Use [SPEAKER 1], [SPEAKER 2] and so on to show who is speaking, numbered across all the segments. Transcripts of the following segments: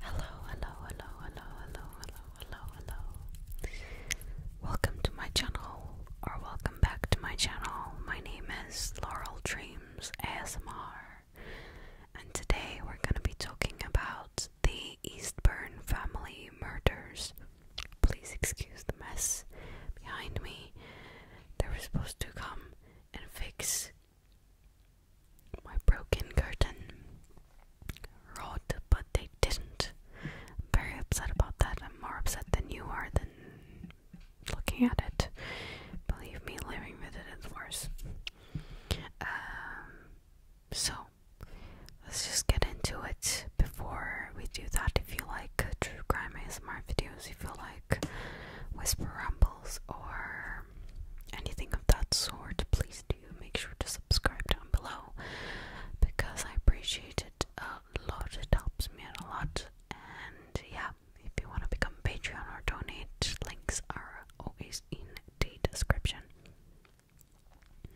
[SPEAKER 1] Hello, hello, hello, hello, hello, hello, hello, hello. Welcome to my channel, or welcome back to my channel. My name is Laurel Dreams ASMR, and today we're going to be talking about the Eastburn family murders. Please excuse the mess behind me. They were supposed to come and fix my broken curtain. Rolled, but they didn't. I'm very upset about that. I'm more upset than you are than looking at it. Believe me, living with it is worse. Um, so, let's just get into it before we do that. If you like true crime ASMR videos, if you like whisper rumble or anything of that sort, please do make sure to subscribe down below because I appreciate it a lot. It helps me out a lot. And yeah, if you want to become Patreon or donate, links are always in the description.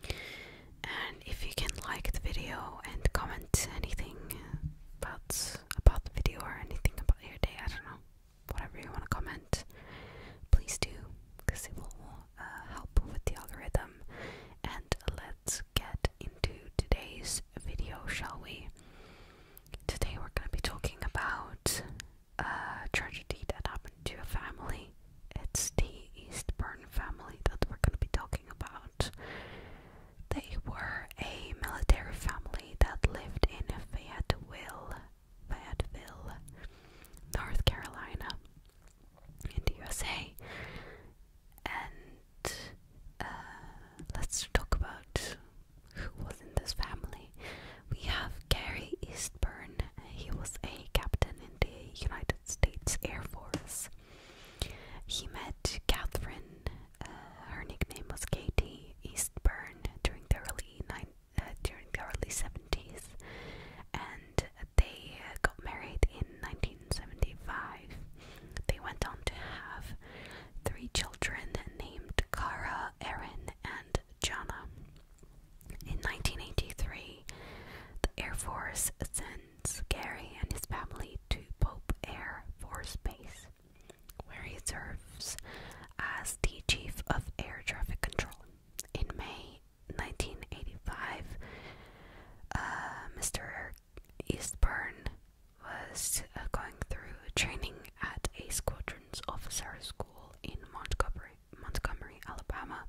[SPEAKER 1] And if you can like the video and comment anything about about the video or anything about your day, I don't know whatever you want to comment, please do, because it will uh, help with the algorithm. And let's get into today's video, shall we? Today we're going to be talking about a uh, tragedy that happened to a family. It's the Eastburn family that we're going to be talking about. They were a military family that lived in Fayetteville, Fayetteville, North Carolina, in the USA. And uh, let's talk about who was in this family. We have Gary Eastburn, he was a captain in the United States Air Force. He met Catherine, uh, her nickname was Katie Eastburn, during the early nineties. Uh, during the early 70s, and they got married in 1975. They went on to have three children named Cara, Erin, and Jana. In 1983, the Air Force sends Gary and his family to Pope Air Force Base, where he serves as the chief of air traffic control. In May 1985, uh, Mr. Eastburn was uh, going through training at a squadron's officer school in Montgomery, Montgomery, Alabama,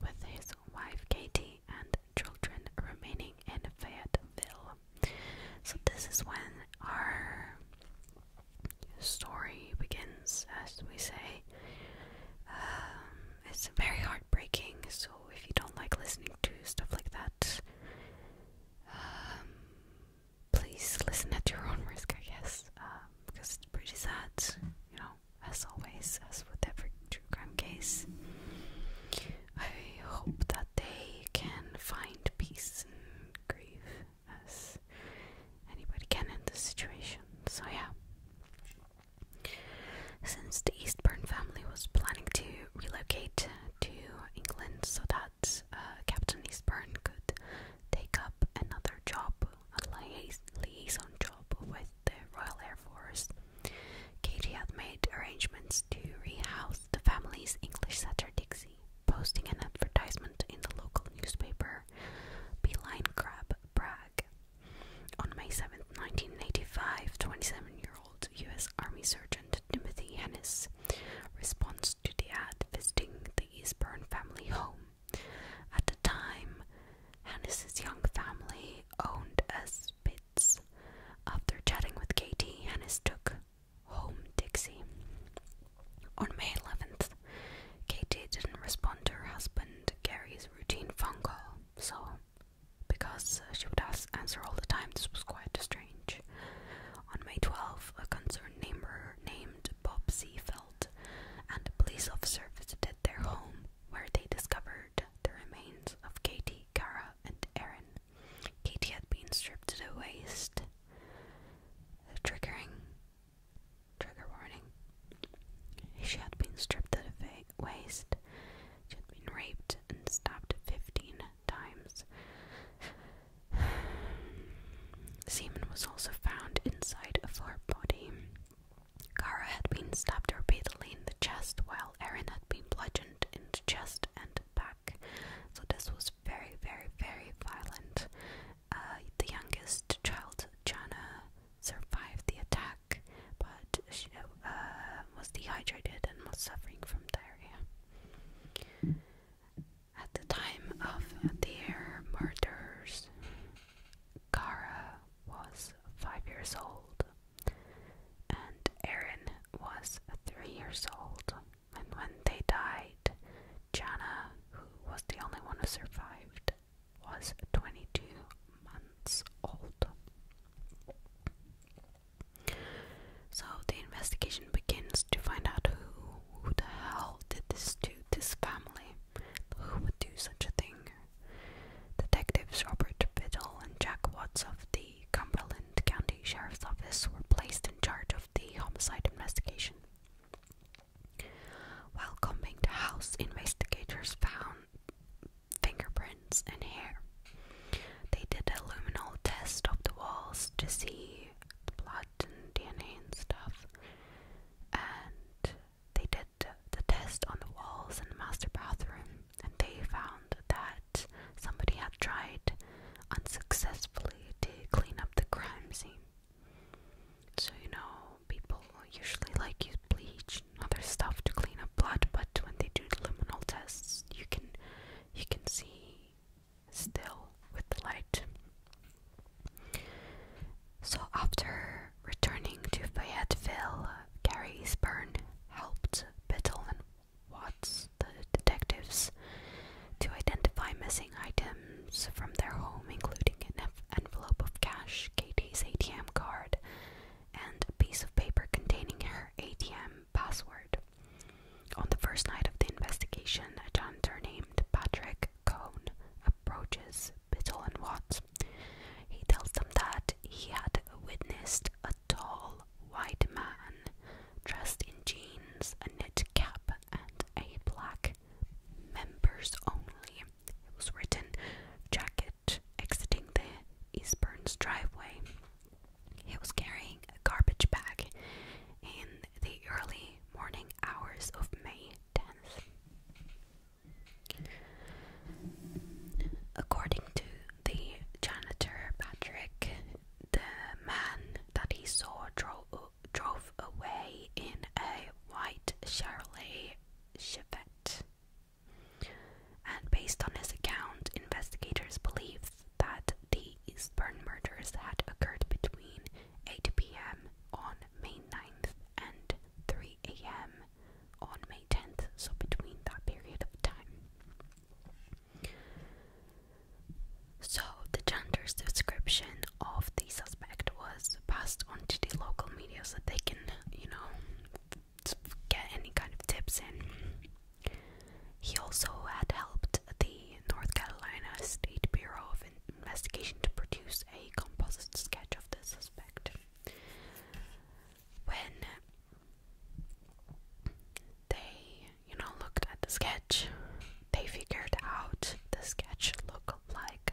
[SPEAKER 1] with his wife Katie and children remaining in Fayetteville. So this is when our story begins, as we say. Um, it's very heartbreaking, so if you don't like listening to stuff like that, um, please listen at your own risk, I guess, because um, it's pretty sad, you know, as always, as with every true crime case. I hope that they can find peace and grief as anybody can in this situation. So, yeah. Since the Eastburn family was planning to relocate to England so that uh, Captain Eastburn could take up another job, a liais liaison job with the Royal Air Force, Katie had made arrangements to rehouse the family's English setter, Dixie. Posting an advertisement in the local newspaper, Beeline Crab Bragg. On May 7, 1985, 27 year old U.S. Army Sergeant Timothy Hennis responds to the ad visiting the Eastburn family home. At the time, Hennis's young family owned a Spitz. After chatting with Katie, Hennis took home Dixie. On May 11th, Katie didn't respond to her husband Gary's routine phone call, so because uh, she would answer all the time, this was quite strange. On May 12th, a concerned neighbor named Bob Seafeld and a police officer visited their home, where they discovered the remains of Katie, Cara, and Aaron. Katie had been stripped to the waist, triggering Trigger warning. She had been stripped at the waist. She had been raped and stabbed 15 times. Semen was also found inside of her body. Kara had been stabbed repeatedly in the chest, while Erin had been bludgeoned in the chest and back. So this was very, very, very violent. Uh, the youngest child, Jana, survived the attack, but she uh, was dehydrated and was suffering from diarrhea. At the time of their murders, Kara was five years old, and Aaron was three years old. And when they died, Jana, who was the only one who survived, was 22 months old. So the investigation begins to find out who, who the hell did this to this family. Who would do such a thing? Detectives Robert Fiddle and Jack Watts of the Cumberland County Sheriff's Office were placed in charge of the homicide investigation. While combing the house, investigators found fingerprints and hair. They did a luminal test of the walls to see the blood and DNA and stuff. And they did the test on the walls in the master bathroom, and they found that somebody had tried unsuccessfully to clean up the crime scene. So, you know, people usually like use bleach and other stuff to clean up blood, but when they do luminal tests, you can you can see still with the light. So after returning to Fayetteville, Gary Eastburn helped Biddle and Watts, the detectives, to identify missing items from their home, including an envelope of cash, Katie's ATM card, and a piece of paper containing her ATM password. On the first night of the investigation, a janitor named Patrick Cohn approaches Biddle and Watts. He tells them that he had witnessed a tall, white man dressed in jeans, a knit cap, and a black members only. It was written jacket exiting the Eastburns driveway. He was carrying a garbage bag in the early morning hours of May 10th. According to the janitor Patrick, the man that he saw drove drove away in a white Chevrolet Chevette. And based on his account, investigators believe that the Eastburn murders had occurred between 8 p.m. on May 9th and 3 a.m. on May 10th, so between that period of time. So, the gender's description of the suspect was passed on to the local media so they can, you know, get any kind of tips in. He also had helped the North Carolina State Bureau of Investigation to produce a composite sketch of the suspect. When they, you know, looked at the sketch, they figured out the sketch looked like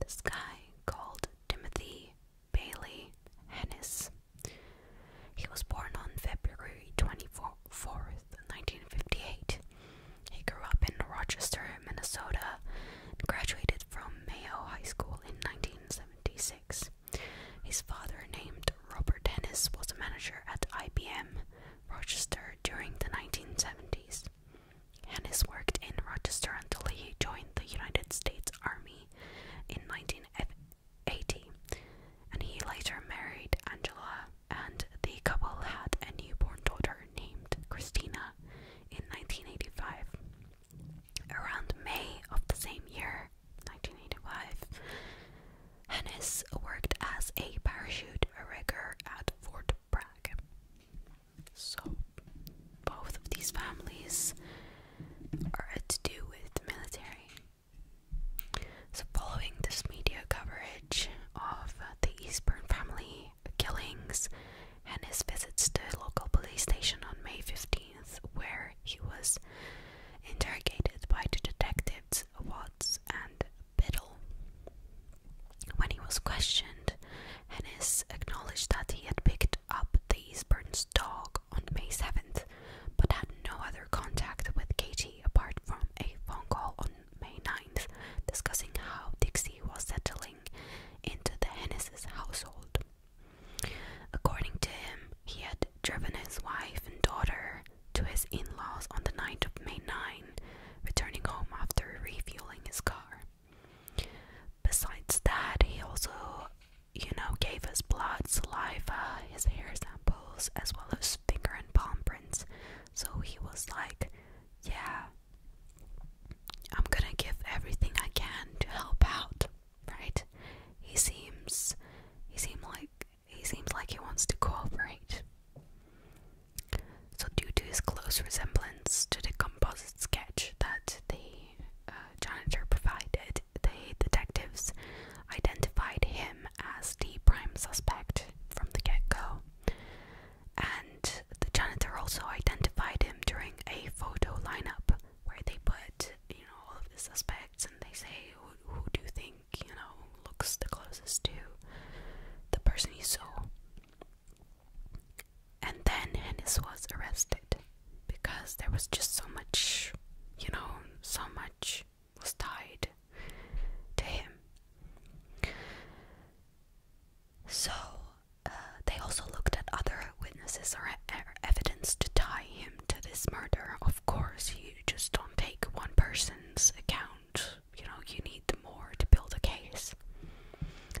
[SPEAKER 1] this guy called Timothy Bailey Hennis. He was born on February 24th, 1958. He grew up in Rochester, Minnesota, and graduated from Mayo High School in 1976. His father, named Robert Dennis, was a manager at IBM Rochester during the 1970s. Hannes worked in Rochester until he joined the United States Army in 1980, and he later married Angela, and the couple had a newborn daughter named Christina in 1985. Around May of the same year, 1985, Hennis worked as a parachute rigger at Fort so, both of these families are to do with the military. So, following this media coverage of the Eastbourne family killings and his visits to a local police station on May 15th, where he was interrogated by the detectives Watts and Biddle, when he was questioned, Hennis acknowledged that he had picked up the Eastburn's dog on May 7th, but had no other contact with Katie apart from a phone call on May 9th discussing how Dixie was settling into the Hennis's household. According to him, he had driven his wife and daughter to his in laws on the night of May 9 returning home after refueling his car. Besides that, he also, you know, gave us blood, saliva, his hair samples, as well as finger and palm prints. So he was like, Yeah, I'm gonna give everything I can to help out, right? He seems, he seems like, he seems like he wants to cooperate. So, due to his close resemblance to the composite sketch that the uh, janitor provided, the detectives identified him as the prime suspect from the get go. And the janitor also identified him during a photo lineup where they put, you know, all of the suspects and they say, who, do you think, you know, looks the closest to the person you saw? And then Hennis was arrested because there was just so much, you know, so much was tied to him. So uh, they also looked at other witnesses or evidence to tie him to this murder. Of course, you just don't take one person's account you know, you need more to build a case.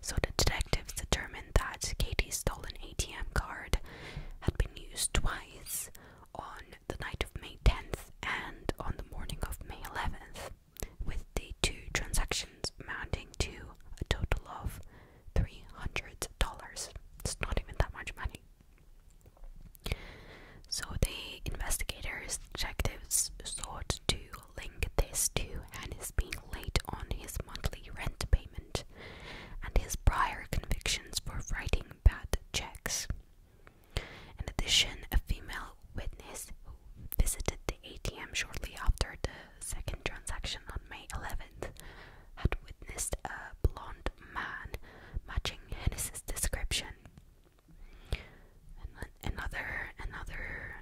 [SPEAKER 1] So the detectives determined that Katie's stolen ATM card had been used twice on the night of May 10th and on the morning of May 11th, with the two transactions amounting to a total of $300. It's not even that much money. So the investigators, detectives, sought to link this to Hannes being late on his monthly rent payment and his prior convictions for writing bad checks. In addition, a female witness who visited the ATM shortly after the second transaction on May 11th had witnessed a blond man matching Hennessy's description. And then another another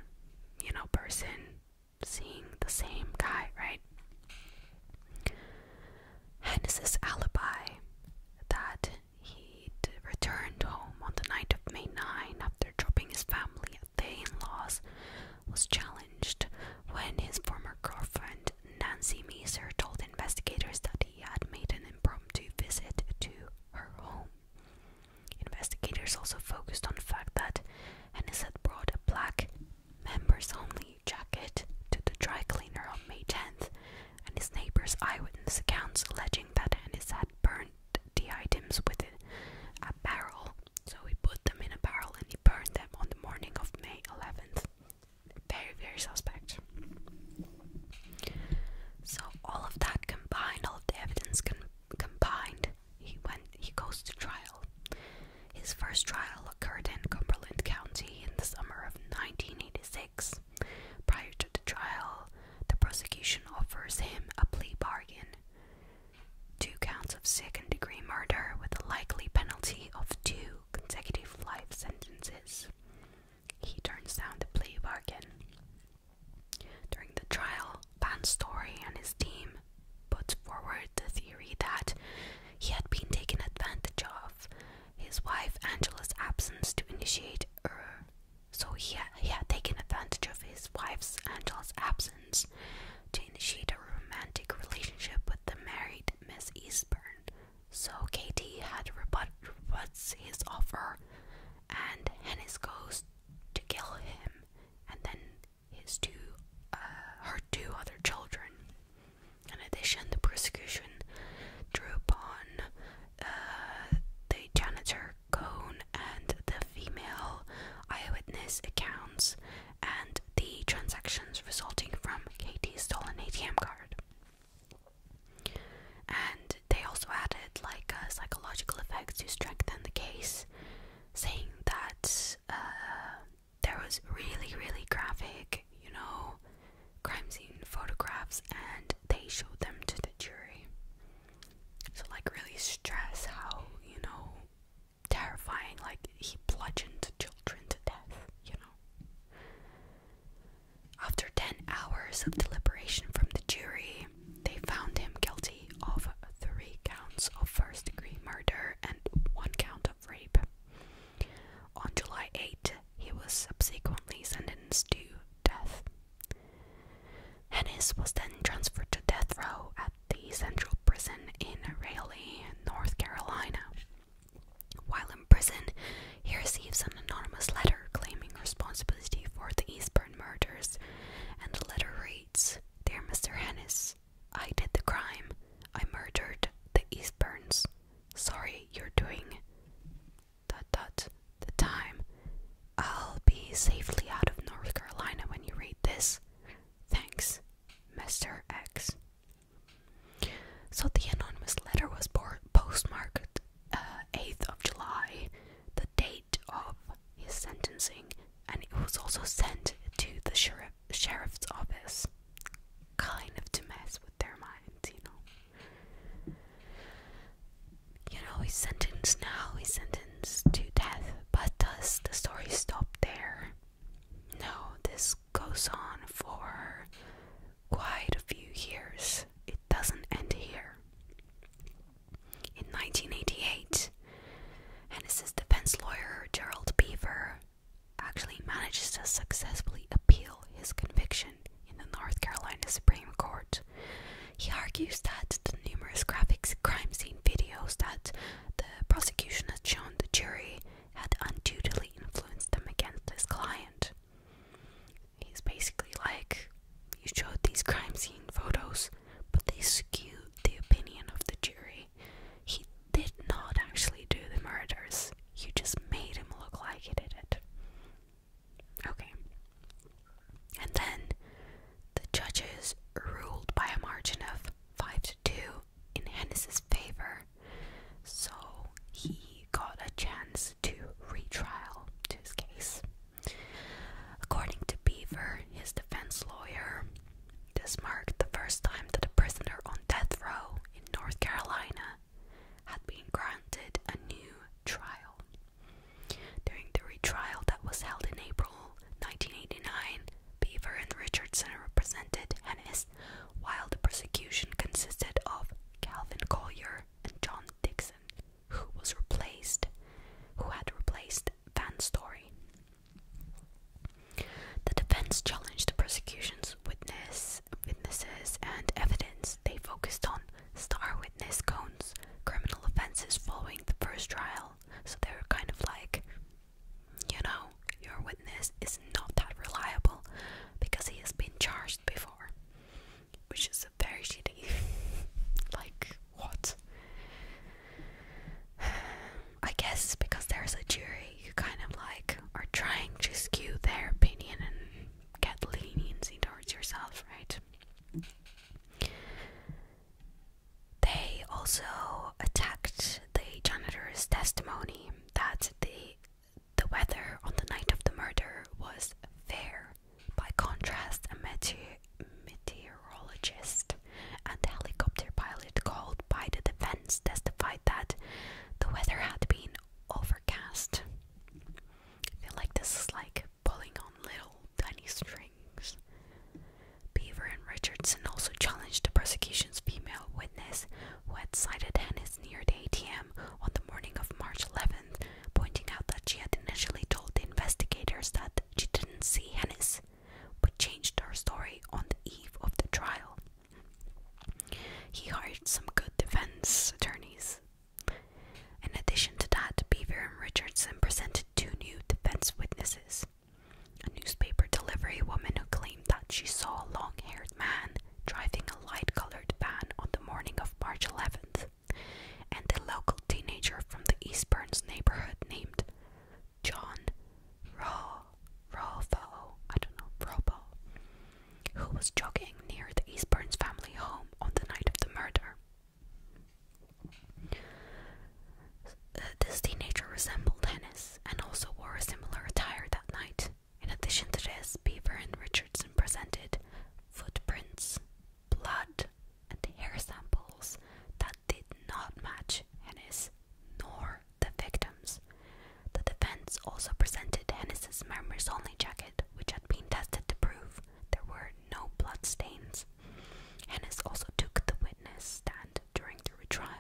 [SPEAKER 1] you know person seeing the same guy, right? Had this alibi that he'd returned home on the night of May 9 after dropping his family at the in-laws was challenged when his former girlfriend Nancy Meeser told investigators that he had made an impromptu visit to her home. Investigators also focused on the fact that Hennis had brought a black members only jacket to the dry cleaner on May 10th, and his neighbors' eyewitness accounts alleging that Hennis had burned the items with a barrel. So he put them in a barrel and he burned them on the morning of May 11th. Very, very suspect. So all of that combined, all of the evidence combined Combined, he went he goes to trial. His first trial occurred in Cumberland County in the summer of 1986. Prior to the trial, the prosecution offers him a plea bargain. Two counts of second degree murder with a likely penalty of two consecutive life sentences. He turns down the plea bargain. During the trial, Van Story and his team put forward the theory that he had been taken advantage of his wife Angela's absence to initiate her. So he he had taken advantage of his wife's Angela's absence to initiate a romantic relationship with the married Miss Eastburn. So Katie had rebut his offer, and Hennis goes to kill him and then his two, uh, her two other children. In addition, the prosecution drew upon uh, the janitor Cone and the female eyewitness accounts and the transactions resulting from Katie's stolen ATM card. And they also added like uh, psychological effects to strengthen the case, saying that uh, there was really, really graphic, you know, crime scene photographs, and they showed them to the jury. So, like, really stress how you know terrifying, like he bludgeoned children to death, you know. After 10 hours of deliberation from the jury, they found him guilty of three counts of first degree murder and one count of rape. On July 8, he was subsequently sentenced to death. Hennis was then transferred to death row at the Central Prison in Raleigh, North Carolina. While in prison, he receives an anonymous letter claiming responsibility for the East murders, and the letter reads Dear Mr. Hennis, I did the crime. I murdered the Eastburns. Sorry you're doing dot dot the time. I'll be safely out of North Carolina when you read this. Thanks, Mr. X. So the anonymous letter was postmarked 8th uh, of July, the date of his sentencing and it was also sent to the sheriff's office, kind of to mess with their minds, you know. You know, he's sentenced now, he's sentenced to death, but does the story stop there? No, this goes on for quite a few years. It doesn't end here. In 1988, Hennessy's defense lawyer, Gerald Beaver, actually manages to successfully appeal his conviction in the North Carolina Supreme Court. He argues that the numerous graphic crime scene videos that the prosecution had shown the jury had unduly influenced them against his client. He's basically like, You showed these crime scene photos but they skewed the opinion of the jury. He did not actually do the murders, you just made him look like he did it. Okay. And then the judges ruled by a margin of 5 to 2 in Hennessy's favor, so he got a chance to retrial to his case. According to Beaver, his defense lawyer, this marked the first time that a prisoner on death row in North Carolina had been granted a new trial. During the retrial that was held in April 1989, Beaver and Richardson represented Hennis, while the prosecution consisted of Calvin Collier and John Dixon who was replaced, who had replaced Van Story. The defense challenged the prosecution's witness, witnesses and evidence. They focused on star witness Cohn's criminal offenses following the first trial, so they are kind of like, you know, your witness is not that reliable because he has been charged before which is a very shitty. like, what? I guess because there's a jury, you kind of like are trying to skew their opinion and get leniency towards yourself, right? They also attacked the janitor's testimony that the the weather on the night of the murder was fair by contrast, a meteorologist and helicopter pilot called by the defense testified that the weather had been overcast. I feel like this is like pulling on little tiny strings. Beaver and Richardson also challenged the prosecution's female witness who had sighted Hennis near the ATM on the morning of March 11, pointing out that she had initially told the investigators that she didn't see Hennis, but changed her story on the eve of the trial. He hired some good defense attorneys. In addition to that, Beaver and Richardson presented two new defense witnesses a newspaper delivery woman who claimed that she saw a long haired man driving a light colored van on the morning of March 11th, and a local teenager from the Eastburns' neighborhood named John Ro I don't know, Robo, who was jogging near the Eastburns' family home on the night of the murder. Uh, this teenager resembled Hennis and also wore a similar attire that night. In addition to this, Beaver and Richardson presented footprints blood and hair samples that did not match Hennis nor the victims. The defense also presented Hennis's members only jacket, which had been tested to prove there were no blood stains. Hennis also took the witness stand during the retrial.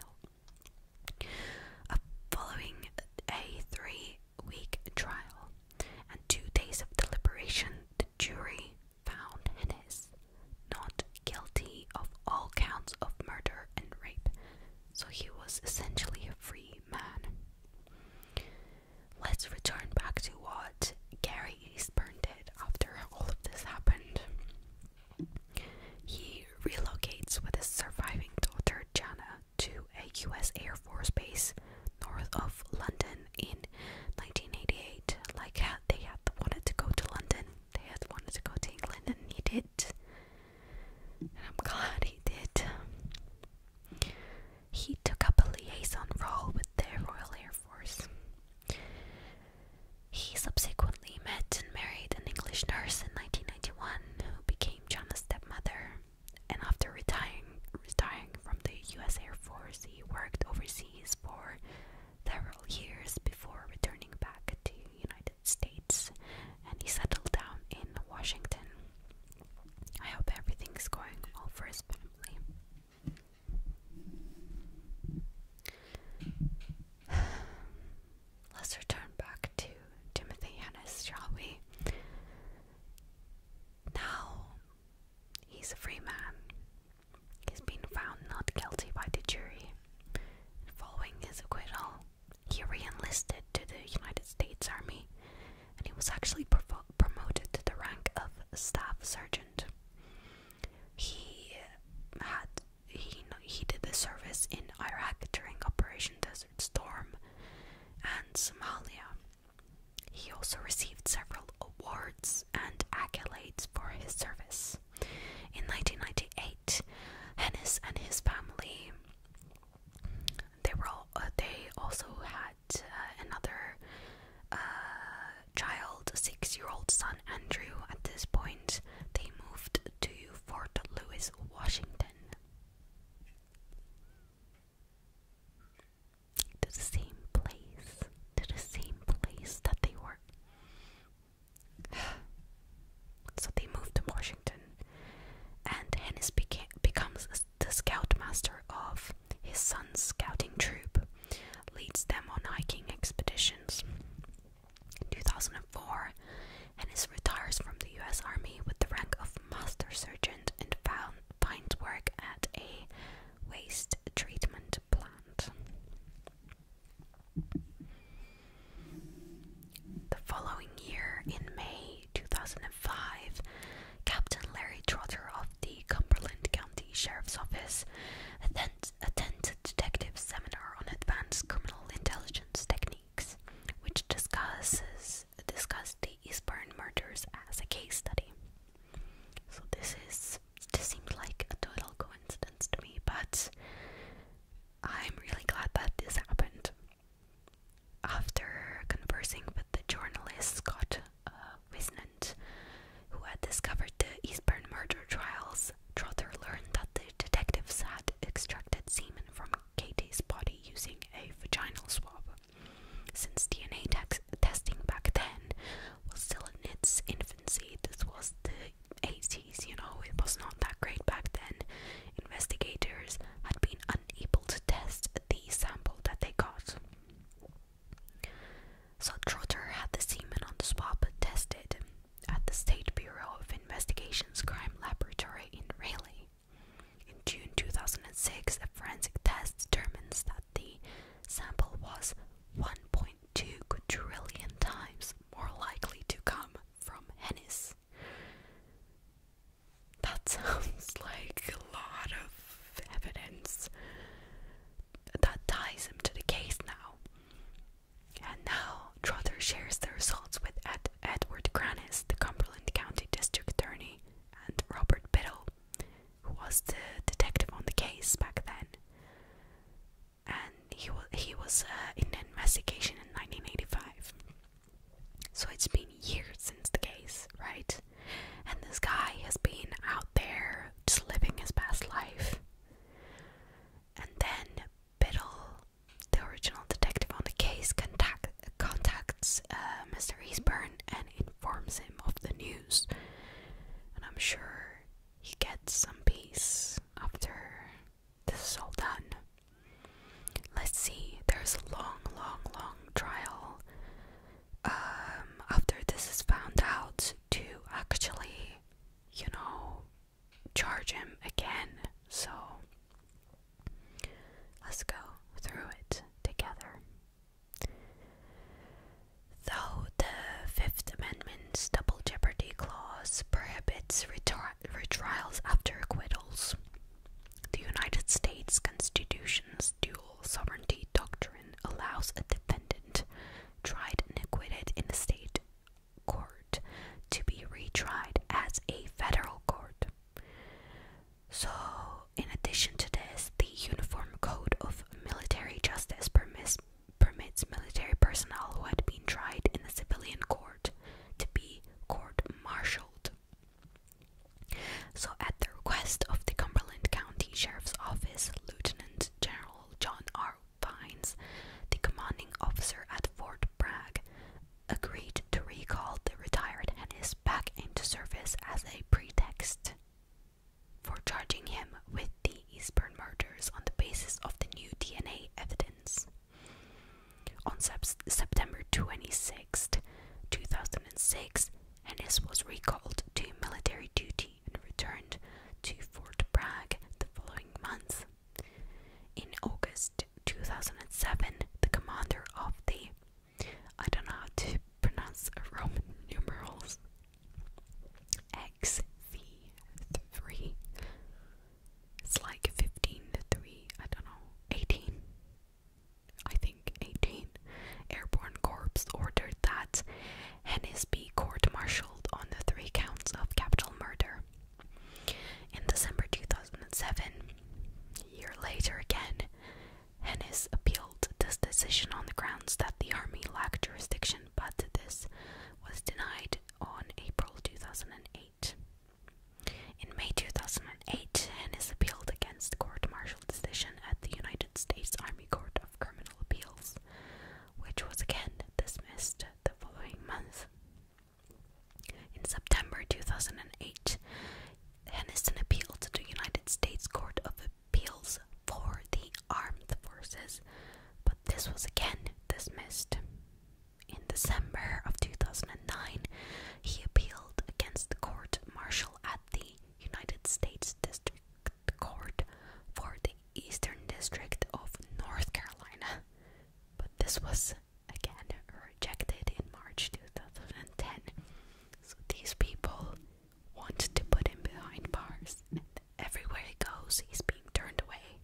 [SPEAKER 1] following a three week trial and two days of deliberation, the jury found Hennes not guilty of all counts of murder and rape, so he was essentially a free man. Let's return back to what Gary Eastburn did after all of this happened. He relocates with his surviving daughter Jana to a US Air Force base north of London in 1988. Like how they had wanted to go to London, they had wanted to go to England, and he did. I'm glad he did. He took up a liaison role with the Royal Air Force. He subsequently met and married an English nurse in 1991 who became John's stepmother. And after retiring from the US Air Force, he worked overseas He's for several years before returning back to United States and he settled down in Washington. I hope everything's going well for his family. Let's return back to Timothy Hennis, shall we? Now he's a free man. He's been found not guilty by the jury. Following his acquittal, he re enlisted to the United States Army and he was actually promoted to the rank of staff sergeant. He had he he did the service in Iraq during Operation Desert Storm and Somalia. He also received several awards and accolades for his service. In 1998, Hennis and his family they were uh, they also had uh, another uh, child, six-year-old son Andrew. At this point, they moved to Fort Lewis, Washington to the same place, to the same place that they were. so they move to Washington, and Hennis becomes the scoutmaster of his son's scouting troop, leads them on hiking expeditions. In 2004, Hennis retires from the U.S. Army with the rank of Master Sergeant and finds work at a waste treatment plant. The following year, in May 2005, Captain Larry Trotter of the Cumberland County Sheriff's Office attend a detective seminar on advanced criminal intelligence techniques, which discusses discussed the Eastburn murders as a case study. So this is it just seems like a total coincidence to me, but I'm really glad that this happened. After conversing with the journalist Scott uh, who had discovered the Eastburn murder trials, Trotter learned that the detectives had extracted semen from Katie's body using a vaginal swab. Since DNA testing back then was still in its infancy. This was the 80s, you know, it was not that great back then. Investigators had been unable to test the sample that they got. So Trotter had the semen on the swab tested at the State Bureau of Investigation's crime laboratory in Raleigh. In June 2006, a forensic test determined that the sample was 1.2 trillion times more likely to come from Hennis. That sounds like a lot of evidence that ties him to the case now. And now Trotter shares the results with Ed Edward Granis, the Cumberland County District Attorney, and Robert Biddle, who was the detective on the case back then, and he was he was uh, in an investigation in 1985. So it's been years since the case, right? And this guy has been out there just living his past life. And then Biddle, the original detective on the case, contacts uh, Mr. Eastburn and informs him of the news. And I'm sure he gets some peace after this is all done. Let's see, there's a long, long, long trial um, after this is found out to actually, you know, charge him again. So let's go through it together. Though the Fifth Amendment's double jeopardy clause prohibits retrials after acquittals, the United States Constitution's dual sovereignty doctrine allows a defendant tried and acquitted in a state court to be retried as a federal court. So, in addition to this, the Uniform Code of Military Justice permits, military personnel who had been tried in the civilian court to be court martialed. So, at the request of the Cumberland County Sheriff's Office, Lieutenant General John R. Vines, the commanding officer at Fort Bragg, agreed to recall the retired Hennis back into service as a pretext for charging him with the Eastbourne murders on the basis of the new DNA evidence. On September 26, 2006, Ennis was recalled to military duty and returned to Fort Bragg the following month. In August 2007, the commander of the I don't know how to pronounce Roman numerals XV3. It's like 15 to 3, I don't know, 18. I think 18. Airborne Corps ordered that Hennis be court martialed on the three counts of capital murder. In December 2007, year later again, Hennis appealed this decision on the grounds that the Army lacked jurisdiction, but this was denied on April 2008. In May 2008, Hennis appealed against the court martial decision at the United States Army Court of Criminal Appeals, which was again dismissed the following month. In September 2008, Henderson appealed to the United States Court of appeals for the armed forces, but this was again dismissed. In December of 2009, he appealed against the court martial at the United States District Court for the Eastern District of North Carolina, but this was again rejected in March 2010. So these people wants to put him behind bars. And everywhere he goes, he's being turned away.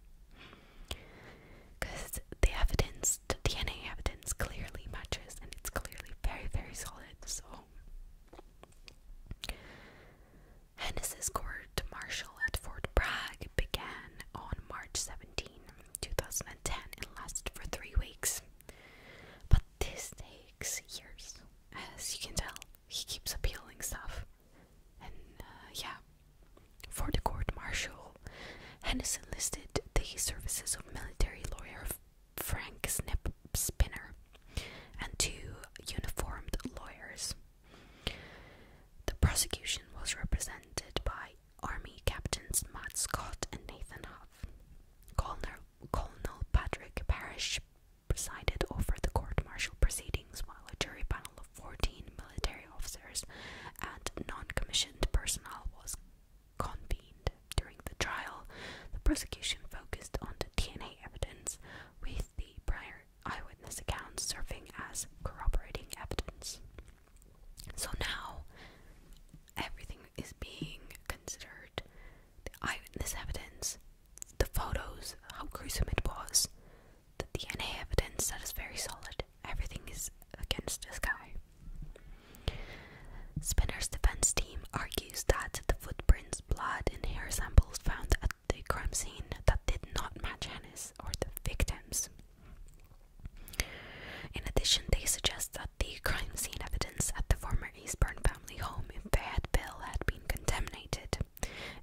[SPEAKER 1] Because the evidence, the DNA evidence, clearly matches and it's clearly very, very solid. So, Hennessy's court martial at Fort Bragg began on March 17, 2010, and lasted for three weeks. But this takes years, as you can tell he keeps appealing stuff. And uh, yeah, for the court martial, Hennis enlisted the services of military lawyer Frank Snip Spinner and two uniformed lawyers. The prosecution was represented by Army Captains Matt Scott and Nathan Huff. Colonel, Patrick Parrish presided over the court martial proceedings while a jury panel of 14 military officers and non commissioned personnel was convened. During the trial, the prosecution focused on DNA evidence, with the prior eyewitness accounts serving as corroborating evidence. So now everything is being considered the eyewitness evidence, the photos, how gruesome it was, the DNA evidence that is very solid. Everything is against this guy. Spinner's defense team argues that the footprints, blood, and hair samples found at the crime scene that did not match Hannes or the victims. In addition, they suggest that the crime scene evidence at the former former Eastbourne family home if the had been contaminated.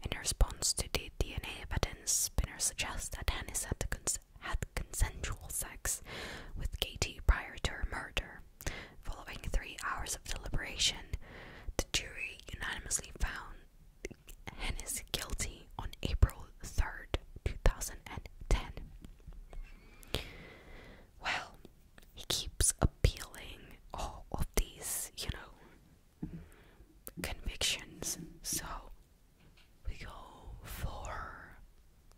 [SPEAKER 1] In response to the DNA evidence, Spinner suggests that Hennis had, had consensual sex with Katie prior to her murder. Following three hours of deliberation, the jury unanimously found Hennis guilty on April 3rd, 2010. Well, he keeps appealing all of these, you know, convictions. So we go for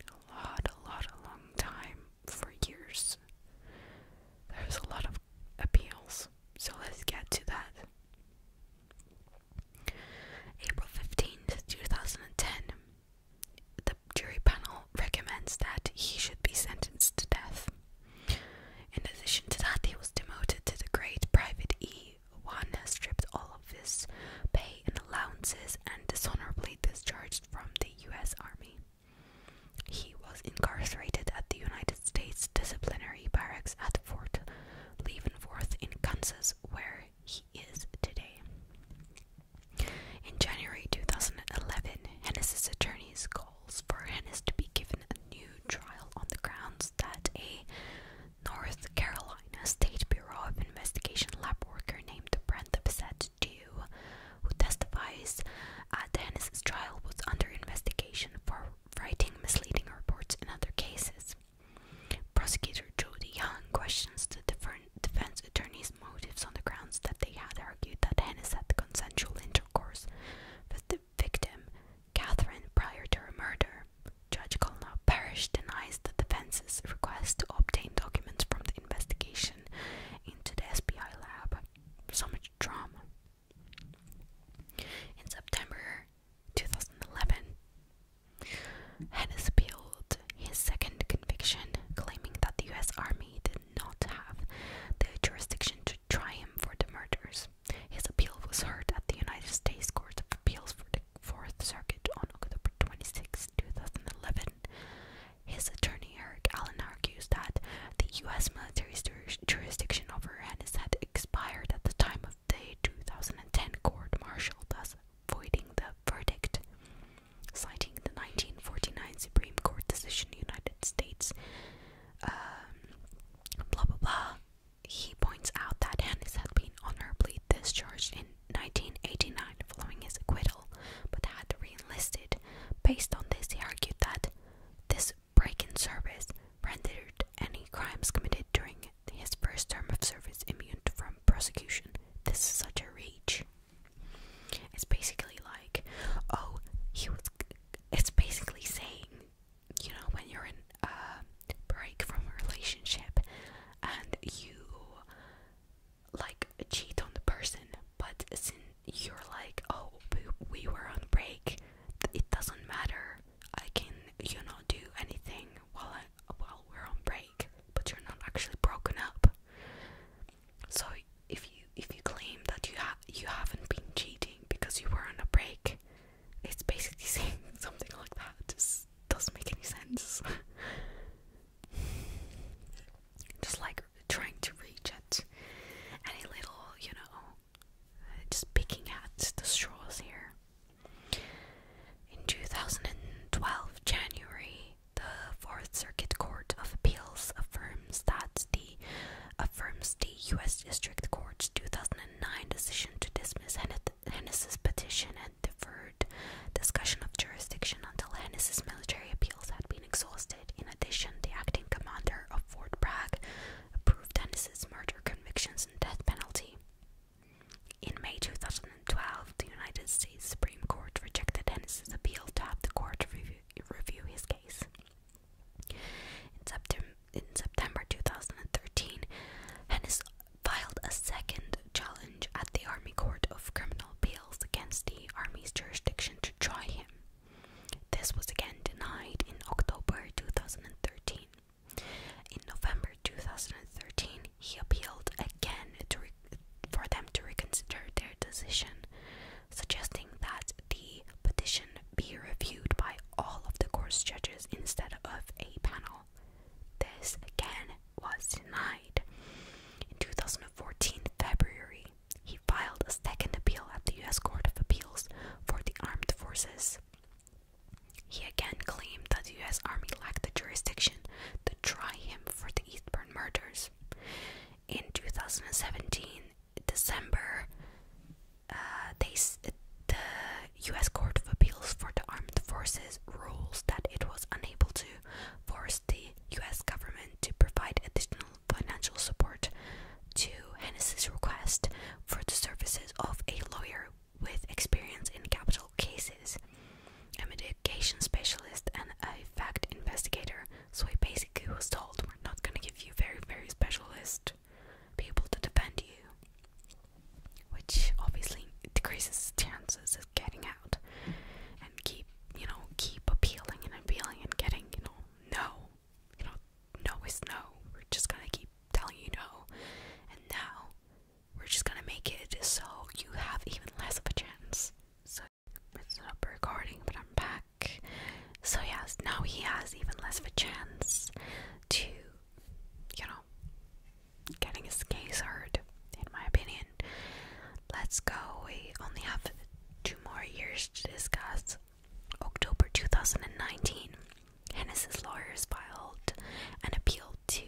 [SPEAKER 1] a lot, a lot, a long time for years. There's a lot of appeals, so let's get to that. April 15th, 2010. The jury panel recommends that he should be sentenced to death. In addition to that, he was demoted to the grade Private E. One stripped all of his pay and allowances and dishonorably discharged from the U.S. Army. He was incarcerated at the United States Disciplinary Barracks at Fort Leavenworth in Kansas, where he is today. In January 2011, Hennessy's attorneys called calls for Hennis to be given a new trial on the grounds that a North Carolina State Bureau of Investigation lab worker named Brenda Bissett Dew, who testifies at Hennis's trial, was under investigation for writing misleading reports in other cases. Prosecutor Jody Young questions the different defense attorneys' motives on the grounds that they had argued that Hennis had consensual interest intercourse with the victim, Catherine, prior to her murder. Judge Colnell Parrish denies the defense's request to obtain documents from the investigation into the SBI lab. So much drama. In September 2011, Hennis appealed his second conviction, claiming that the US Army did not have the jurisdiction to try him for the murders. His appeal was heard at the United States Court of Appeals for the Fourth Circuit on October 26, 2011. His attorney Eric Allen argues that the U.S. military's jurisdiction over Hennis had expired at the time of the 2010 court martial, thus voiding the verdict. Citing the 1949 Supreme Court decision, United States um, blah blah blah. He points out that Hannes had been honorably discharged in 1989 following his acquittal, but had reenlisted. Based on this, he argued that this break in service rendered any crimes committed during his first term of service immune from prosecution. This is such a reach. It's basically like, oh, he was it's basically saying, you know, when you're in a break from a relationship and you like cheat on the person, but since you're like, oh, we were on break, it doesn't matter. I can, you know, do anything while I, while we're on break, but you're not actually broken up. So if you if you claim that you ha you haven't been cheating because you were on a break, it's basically saying something like that. It just doesn't make any sense. just like trying to reach it, any little, you know, just picking at the straws here. In 2012 January, the Fourth Circuit Court of Appeals affirms that the affirms the U.S. District Court's 2009 decision to dismiss Hennessy's petition and deferred discussion of jurisdiction until Hennessy's military appeals had been exhausted. In addition, the acting commander of Fort Bragg approved Hennessy's murder convictions and death penalty. In May 2012, the United States Supreme Court rejected Hennessy's appeal to have the court review his case. In, September 2013, Hennis filed a second challenge at the Army Court of Criminal Appeals against the Army's jurisdiction to try him. This was again denied in October 2013. In November 2013, he appealed again for them to reconsider their decision suggesting that the petition be reviewed by all of the court's judges instead of a panel. This again was denied. In 2014, February, he filed a second appeal at the U.S. Court of Appeals for the Armed Forces. He again claimed that the U.S. Army lacked the jurisdiction to try him for the Eastburn murders. In 2017, December, uh, they the U.S. Court of Appeals for the Armed Forces rules that it was unable to force the U.S. government to provide additional financial support to Hennessy's request for the services of a lawyer with experience in capital cases, a mitigation specialist, and a fact investigator so I basically was told we're not gonna give you very, very specialist people to defend you. Which obviously decreases chances of getting out and keep you know, keep appealing and appealing and getting, you know, no. You know, no is no. We're just gonna keep telling you no. And now we're just gonna make it so you have even less of a chance. So it's not recording, but I'm back back. So yes, now he has even less of a chance to, you know, getting his case heard, in my opinion. Let's go. We only have two more years to discuss. October 2019, Hennessy's lawyers filed an appeal to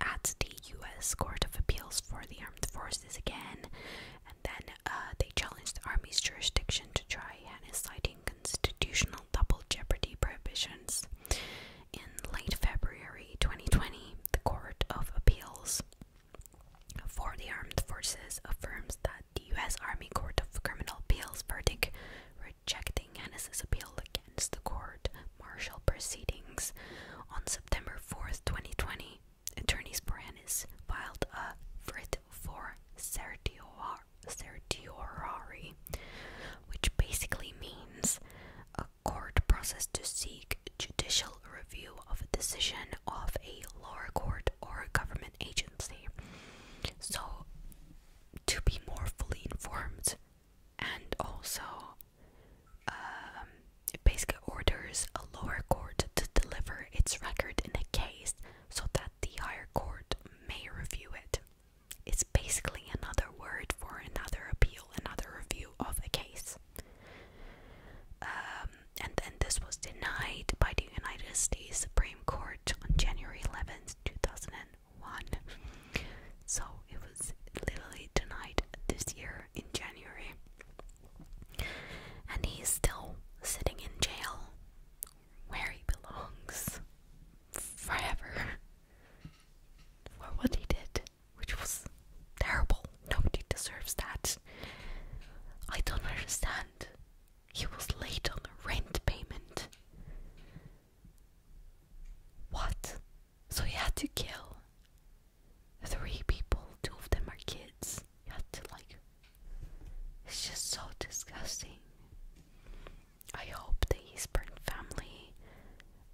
[SPEAKER 1] at the U.S. Court of Appeals for the Armed Forces again, and then uh, they challenged the army's jurisdiction to try Hanna, citing constitutional double jeopardy provisions. In late February 2020, the Court of Appeals for the Armed Forces affirms that the U.S. Army Court of Criminal Appeals verdict rejecting Hannes' appeal against the court martial proceedings. On September 4th, 2020, Attorney Sporanis filed a writ for certior certiorari, which basically means a court process to seek judicial review of a decision of a lower court or a government agency. So, to be more fully informed, and also um, basically orders a lower court to deliver its record in a case so that the higher court may review it. It's basically another word for another appeal, another review of a case. Um, and then this was denied by the United States Supreme Court on January 11th, 2001. So it was literally denied this year in January. And he's still sitting in jail where he belongs forever for what he did, which was terrible. Nobody deserves that. I don't understand. He was late on a rent payment. What? So he had to kill three people, two of them are kids. He had to like it's just so disgusting. I hope the Eastburn family,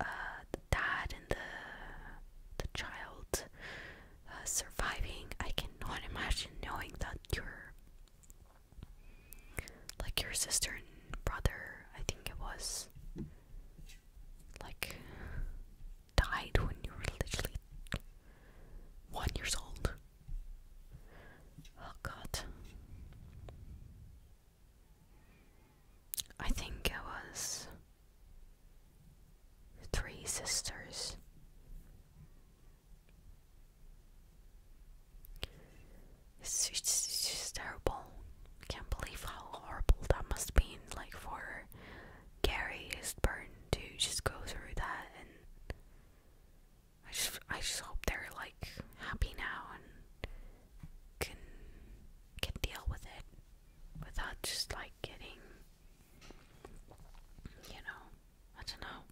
[SPEAKER 1] uh, the dad and the the child uh, surviving. I cannot imagine knowing that your like your sister and brother, I think it was, like died when you were literally one years old. Oh god. I think it was Three Sisters. It's, just terrible. Can't believe how horrible that must be. Like for Gary Eastburn to just go through that and I just I just hope they're like happy now and can can deal with it without just like getting you know, I don't know.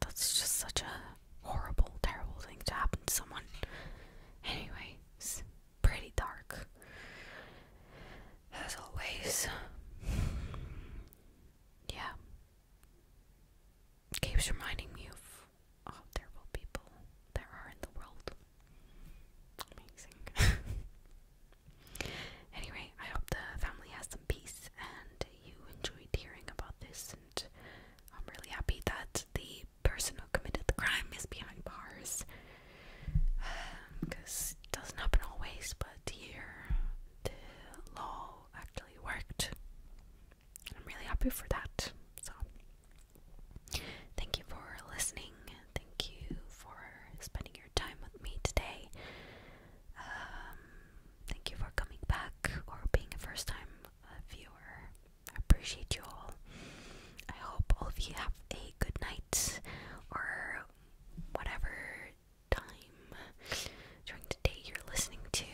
[SPEAKER 1] That's just such a horrible, terrible thing to happen to someone. Anyway, it's pretty dark. As always yeah, keeps reminding me of all oh, terrible people there are in the world. Amazing. anyway, I hope the family has some peace and you enjoyed hearing about this. And I'm really happy that the person who committed the crime is behind bars. Because it doesn't happen always, but here the law actually worked. I'm really happy for that. So, thank you for listening. Thank you for spending your time with me today. Um, thank you for coming back or being a first time viewer. appreciate you all. I hope all of you have a good night or whatever time during the day you're listening to,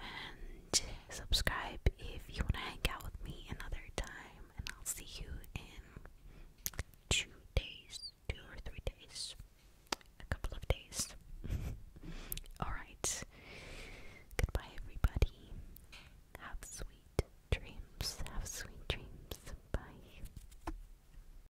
[SPEAKER 1] and subscribe if you want to hang out with me another time. And I'll see you in two days, two or three days, a couple of days. Alright, goodbye, everybody. Have sweet dreams. Have sweet dreams. Bye.